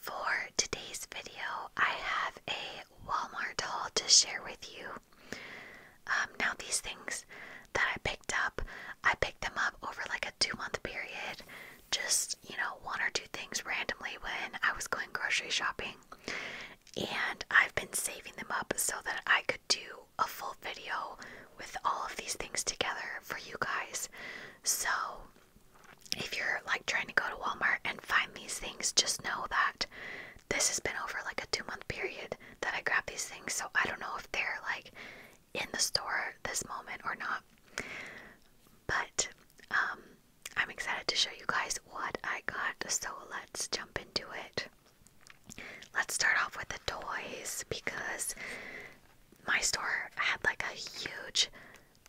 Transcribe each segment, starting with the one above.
For today's video, I have a Walmart haul to share with you. Um, now, these things that I picked up, I picked them up over like a two month period, just you know, one or two things randomly when I was going grocery shopping. And I've been saving them up so that I could do a full video with all of these things together for you guys. So if you're like trying to go to Walmart and find these things, just know that this has been over like a two month period that I grabbed these things. So I don't know if they're like in the store this moment or not. But um, I'm excited to show you guys what I got. So let's jump into it. Let's start off with the toys because my store had like a huge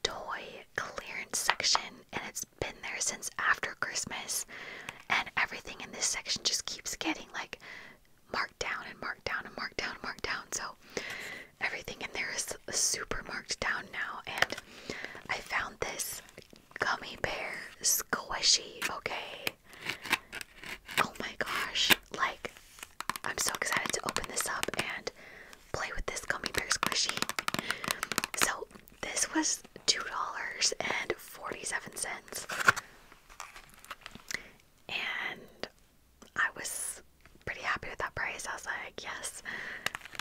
toy clearance section, and it's been there since after Christmas. And everything in this section just keeps getting like marked down and marked down and marked down and marked down. So everything in there is super marked down now. And I found this gummy bear squishy, okay? Oh my gosh. Like, I'm so excited to open this up and play with this gummy bear squishy. So this was two dollars and forty-seven cents. And I was pretty happy with that price. I was like, yes,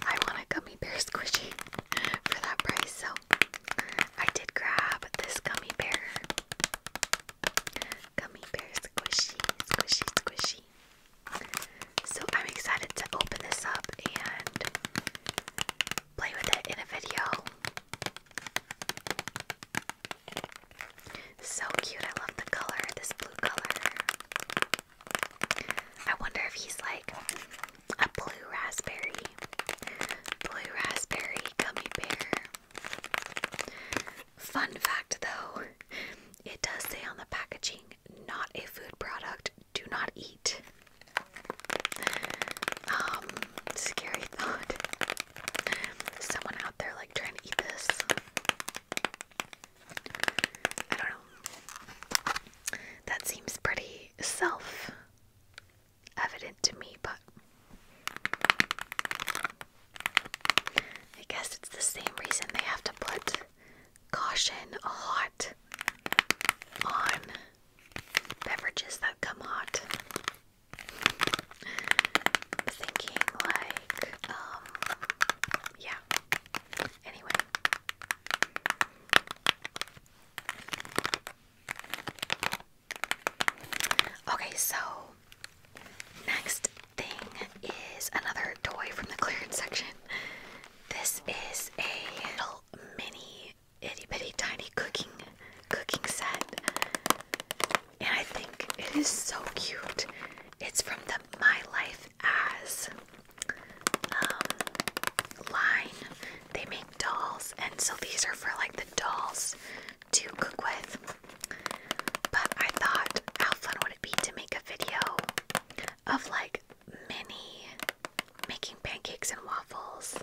I want a gummy bear squishy for that price. So I did grab this gummy bear. Gummy bear squishy, squishy, squishy. So I'm excited to open this up and play with it in a video. So cute, I love the color, this blue color. I wonder if he's like a blue raspberry. Blue raspberry gummy bear. Fun fact though, it does say on the packaging not a food product, do not eat. Um, scary thought. Someone out there like trying to eat this. I don't know. That seems pretty self evident to me, but I guess it's the same reason they have to put caution hot on beverages that come hot. thinking like, um, yeah. Anyway. Okay, so next thing is another toy from the clearance section. This is a little mini itty bitty tiny cooking cooking set. And I think it is so cute. It's from the My Life As um, line. They make dolls, and so these are for like the dolls to cook with. But I thought, how fun would it be to make a video of like mini making pancakes and waffles.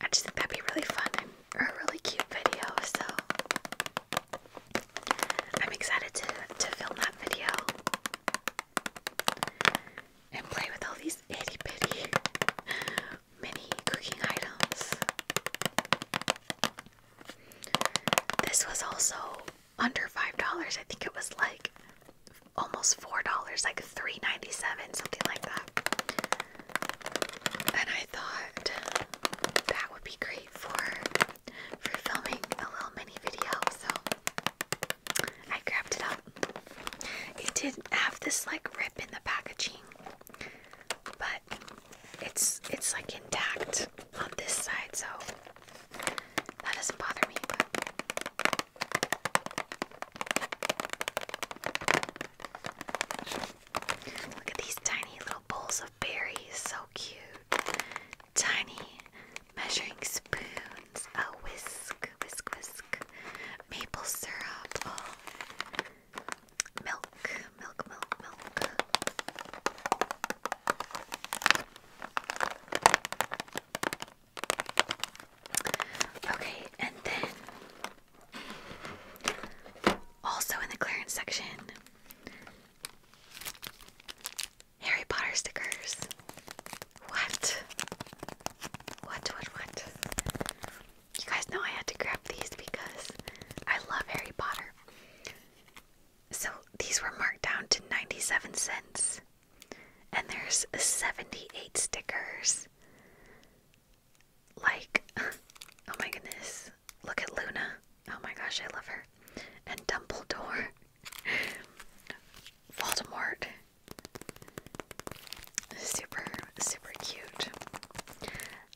I just think that'd be really fun and a really cute video, so I'm excited to, to film that video and play with all these itty bitty mini cooking items. This was also under five dollars. I think it was like almost four dollars, like three ninety seven, something like that. And I thought that would be great for for filming a little mini video, so I grabbed it up. It did have this like rip in the packaging, but it's it's like intact on this side, so that doesn't bother me. Look at these tiny little bowls of berries, so cute. Tiny measuring spoons, a whisk, whisk, whisk, maple syrup, oh. milk, Okay, and then also in the clearance section, Harry Potter stickers. What? What, what, what? You guys know I had to grab these because I love Harry Potter. So these were marked down to 97 cents. And there's 78 stickers. Like, oh my goodness. Look at Luna. Oh my gosh, I love her. And Dumbledore. Voldemort. Super, super cute.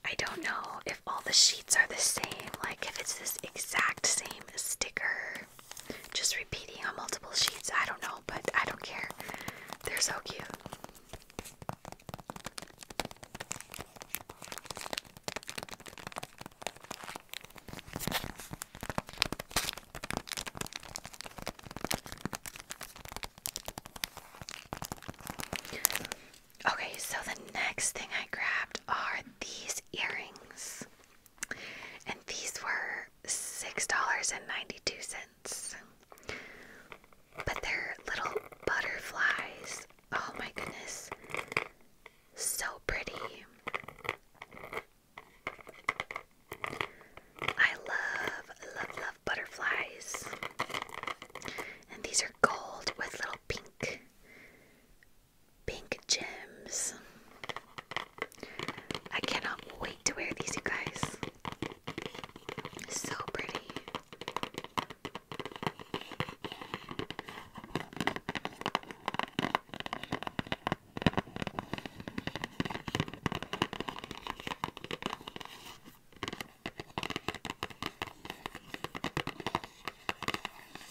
I don't know if all the sheets are the same, like if it's this exact same sticker, just repeating on multiple sheets. I don't know, but I don't care. They're so cute. Okay, so the next thing I grabbed are these earrings. And these were $6.92. But they're little butterflies. Oh my goodness. So pretty. I love, love, love butterflies. And these are gold with little pink pink gems. I cannot wait to wear these, you guys. So pretty.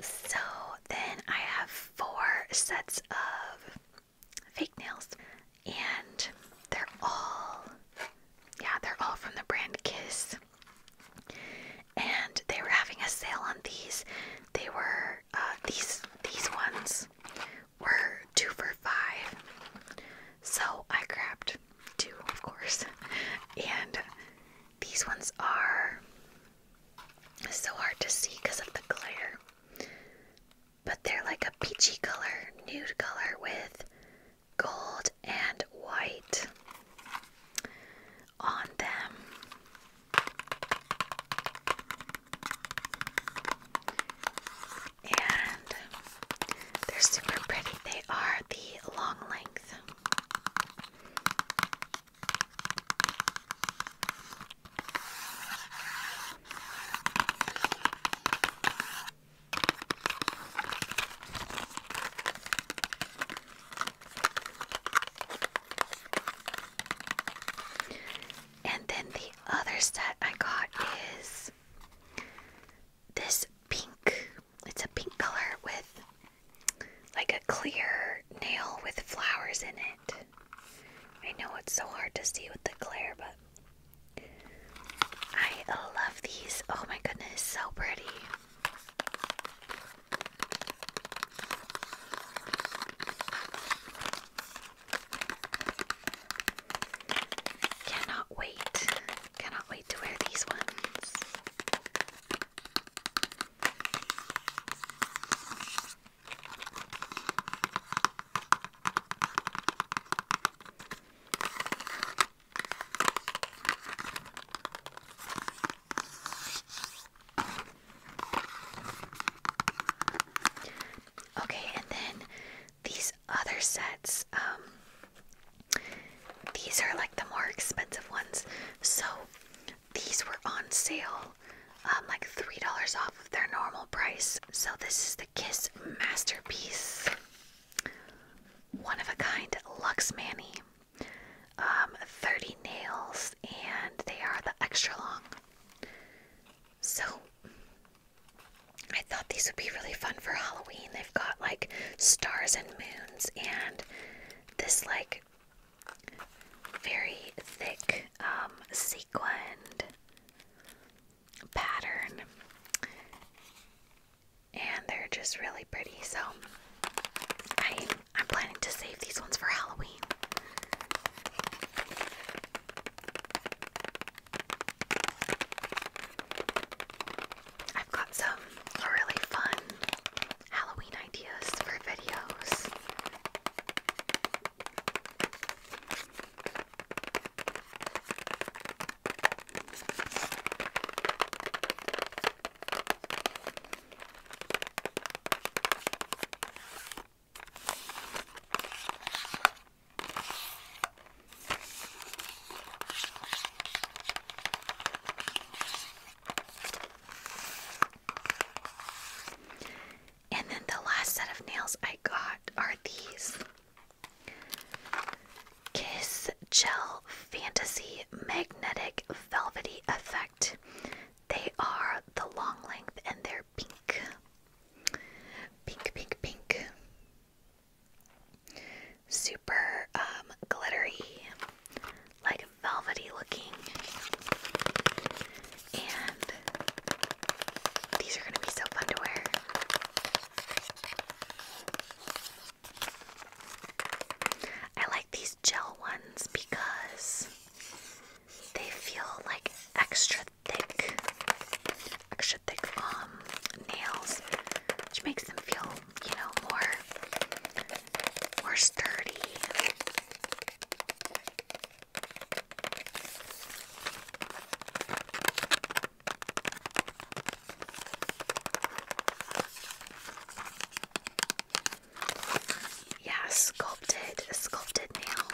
So then I have four sets of fake nails, and they're all, yeah, they're all from the brand Kiss. And they were having a sale on these. They were uh, these these ones were two for five. So I grabbed two, of course, and these ones are so hard to see because of the glare, but they're like a peachy color, nude color with gold and white on them. And they're super pretty. They are the long length. And then the other set I got is this pink it's a pink color with like a clear nail with flowers in it. I know it's so hard to see with the glare, but I love these. Oh my goodness, so pretty. Cannot wait. Cannot wait to wear these ones. Okay, and then these other sets, um, these are like the more expensive ones. So these were on sale, um, like $3 off their normal price. So this is the Kiss Masterpiece. One of a kind Lux Manny. Um, 30 nails, and they are the extra long. So I thought these would be really fun for Halloween. They've got like stars and moon and this like very thick um, sequined pattern and they're just really pretty so I'm planning to save these ones for Halloween I've got some really fun Halloween ideas for videos. And then the last set of nails I got are these Kiss Gel Fantasy Magnetic Velvety Effect. They are the long length and they're pink. Pink, pink, pink super um, glittery, like velvety looking. And these are going to be so fun to wear. I like these gel ones because they feel like extra thick, extra thick um, nails, which makes them feel you know, more more sturdy. Yeah, sculpted, sculpted nail.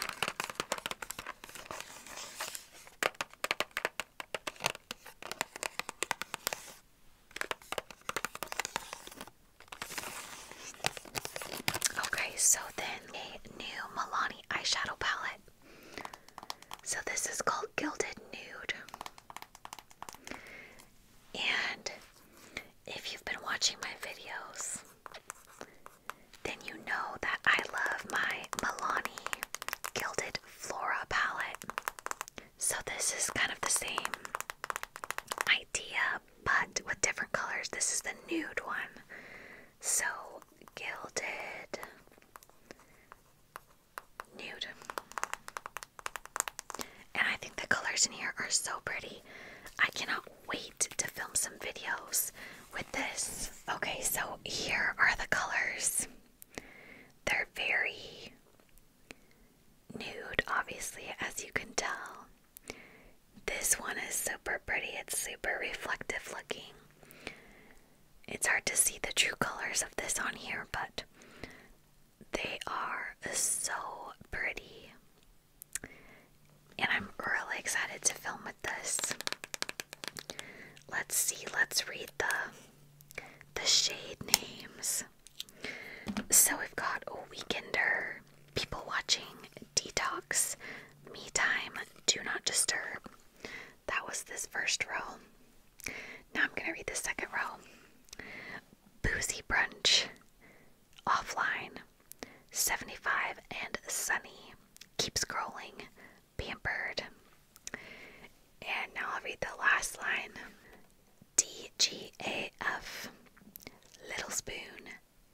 Okay, so then a new Milani eyeshadow palette. So this is called Gilded Nude. And if you've been watching my videos, then you know that I love my Milani Gilded Flora palette. So this is kind of the same idea but with different colors. This is the nude one. So gilded nude. And I think the colors in here are so pretty. I cannot wait to film some videos with this. Okay, so here are the colors. They're very nude, obviously, as you can tell. This one is super pretty, it's super reflective looking. It's hard to see the true colors of this on here, but they are so pretty. And I'm really excited to film with this. Let's see, let's read the the shade names. So we've got a Weekender, People Watching, Detox, Me Time, Do Not Disturb. That was this first row. Now I'm going to read the second row Boozy Brunch, Offline, 75 and Sunny. Keep scrolling, pampered. And now I'll read the last line DGAF Little Spoon,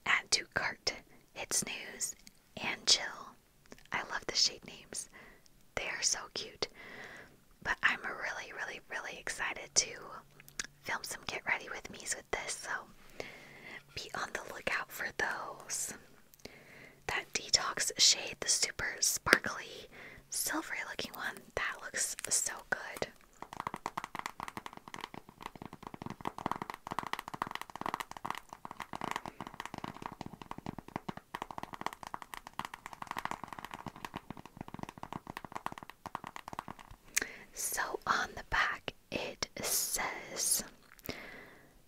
add to cart, hit snooze, and chill. I love the shade names, they are so cute. But I'm really, really, really excited to film some get ready with me's with this, so be on the lookout for those. That detox shade, the super sparkly, silvery looking one, that looks so good. So on the back, it says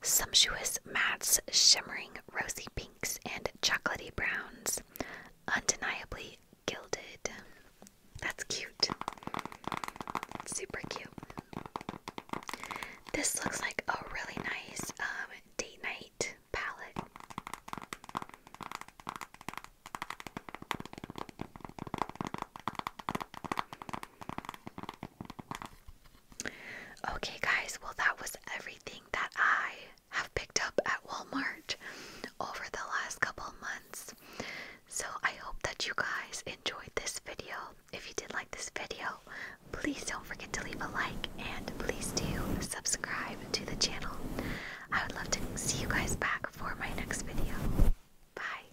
Sumptuous Mattes Shimmering Rosy pink." and chocolatey browns, undeniably gilded. That's cute. Super cute. This looks like a really nice um, date night palette. Okay, guys, well, that was everything that I have picked up at Walmart over the last couple months. So I hope that you guys enjoyed this video. If you did like this video, please don't forget to leave a like and please do subscribe to the channel. I would love to see you guys back for my next video. Bye.